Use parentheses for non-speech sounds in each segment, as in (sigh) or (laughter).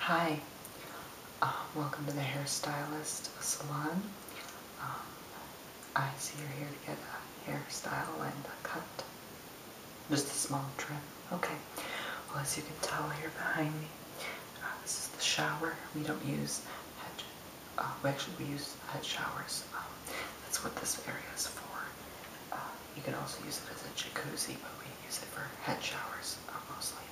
Hi, uh, welcome to the Hairstylist Salon. Um, I see you're here to get a hairstyle and a cut. Just a small trim. Okay. Well, as you can tell here behind me, uh, this is the shower. We don't use head, uh, we actually we use head showers. Um, that's what this area is for. You can also use it as a jacuzzi, but we use it for head showers uh, mostly.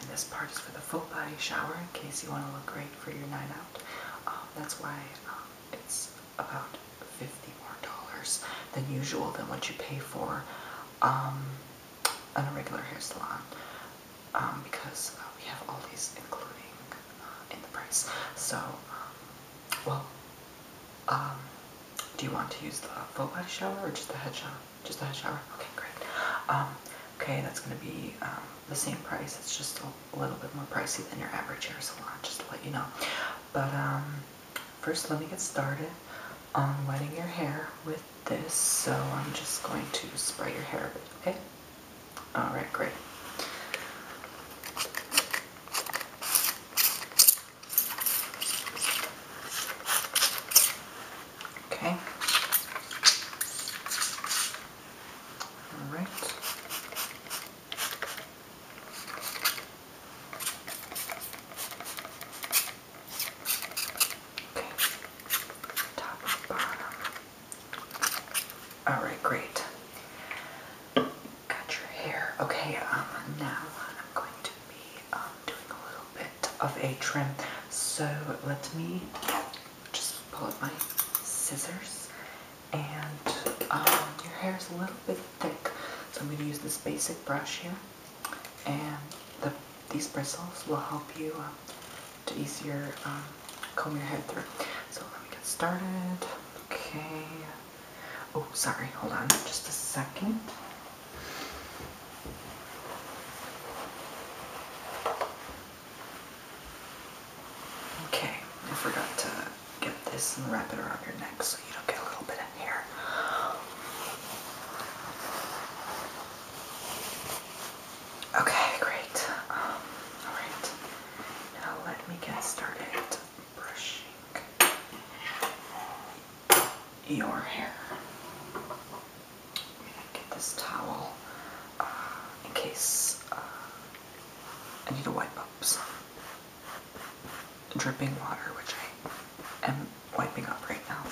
And this part is for the full body shower in case you want to look great for your night out. Um, that's why um, it's about 50 more dollars than usual than what you pay for an um, on regular hair salon because uh, we have all these including uh, in the price. So, well, um, do you want to use the full body shower or just the head shower? Just the head shower? Okay, great. Um, okay, that's going to be um, the same price. It's just a little bit more pricey than your average hair salon, just to let you know. But first, let me get started on wetting your hair with this. So I'm just going to spray your hair a bit, okay? Alright, great. Okay. All right. Okay. Top bottom. All right, great. Got your hair. Okay, um, now I'm going to be um, doing a little bit of a trim. So let me just pull up my scissors. And um, your hair is a little bit thick. So I'm going to use this basic brush here. And the, these bristles will help you um, to easier um, comb your head through. So let me get started. Okay, Oh, sorry, hold on just a second. Okay, I forgot to get this and wrap it around your neck so you don't get a little bit in here. Okay, great. Um, Alright, now let me get started brushing your hair. get this towel uh, in case uh, I need to wipe up dripping water, which I am wiping up right now,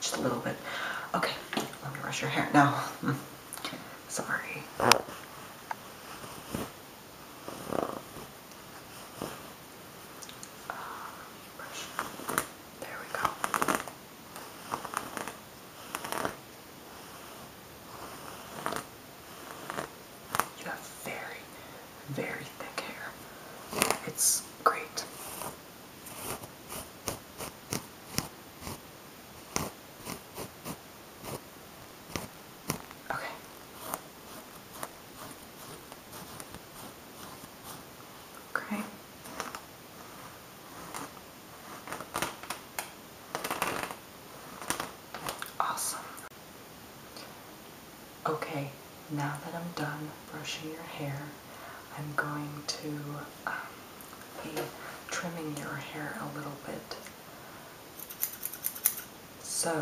just a little bit. Okay, let me brush your hair now. (laughs) Sorry. There we go. You have very, very thick hair. It's great. Okay. Okay. Awesome. Okay, now that I'm done brushing your hair, I'm going to um, be trimming your hair a little bit. So,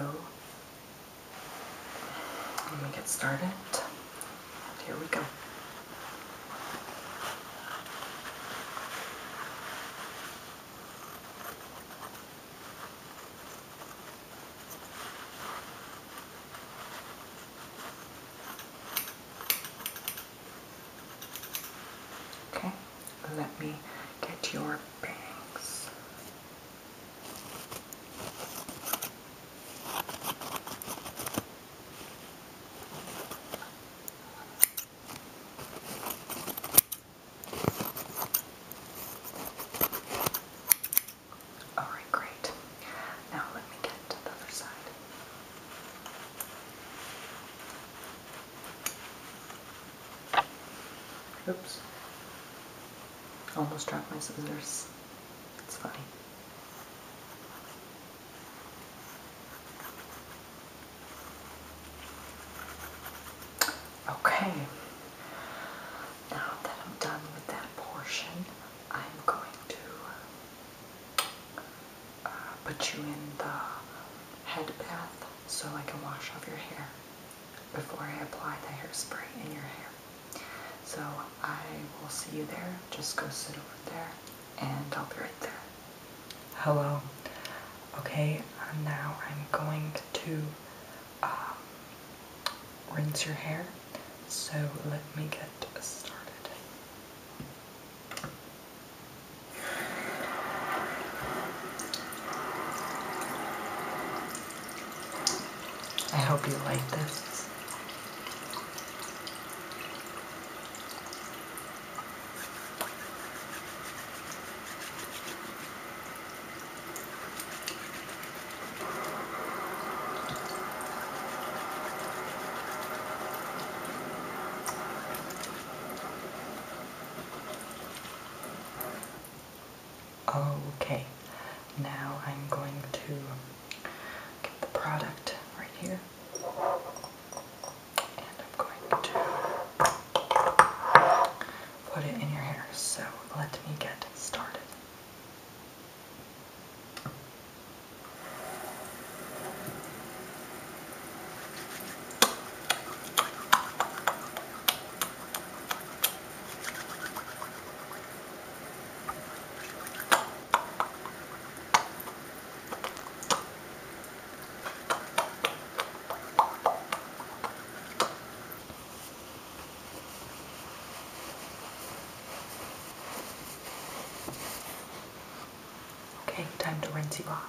let me get started. And here we go. Okay let me get your bangs. All right, great. Now let me get to the other side. Oops. Almost dropped my scissors. It's funny. Okay. Now that I'm done with that portion, I'm going to uh, put you in the head bath so I can wash off your hair before I apply the hairspray in your hair. So I will see you there. Just go sit over there and I'll be right there. Hello. Okay, now I'm going to um, rinse your hair. So let me get started. I hope you like this. Okay, now I'm going to get the product right here. And I'm going to put it in your hair. So let me get started. Okay, time to rinse you off.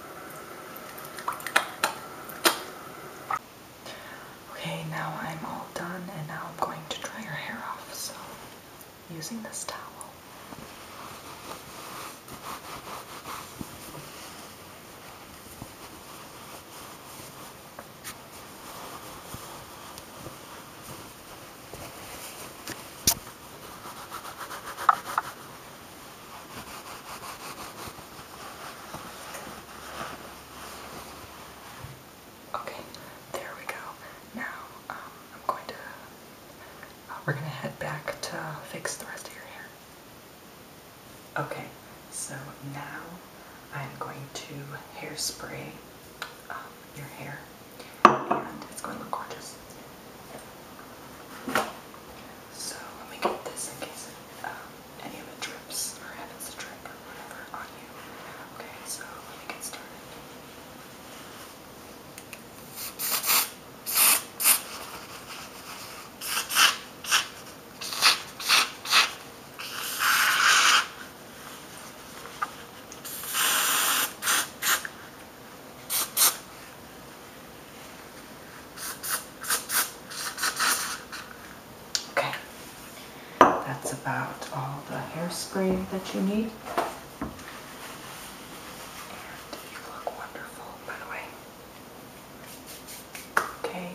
Okay, now I'm all done and now I'm going to dry your hair off, so using this towel. Okay, there we go. Now, um, I'm going to, uh, we're going to head back to fix the rest of your hair. Okay, so now I'm going to hairspray um, your hair, and it's going to look gorgeous. So let me get this in case it, um, any of it drips or happens to drip or whatever on you. Okay, so let me get started. Okay, that's about all the hairspray that you need. you look wonderful, by the way. Okay,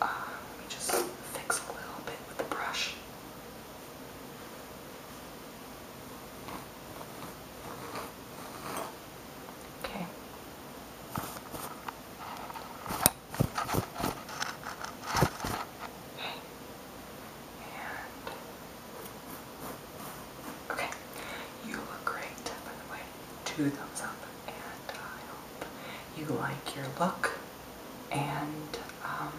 uh, let me just fix a little bit with the brush. Okay. And okay, you look great. By the way, two thumbs up, and I hope you like your look. And um,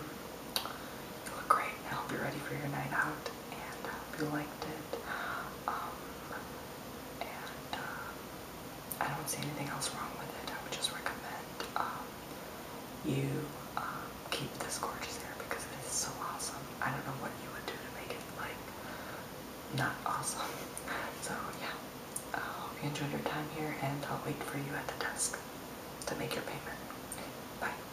you look great. I hope you're ready for your night out and I hope you liked it. Um, and uh, I don't see anything else wrong with it. I would just recommend um, you um, keep this gorgeous hair because it is so awesome. I don't know what you would do to make it like not awesome. (laughs) So yeah, I hope you enjoyed your time here, and I'll wait for you at the desk to make your payment. Bye.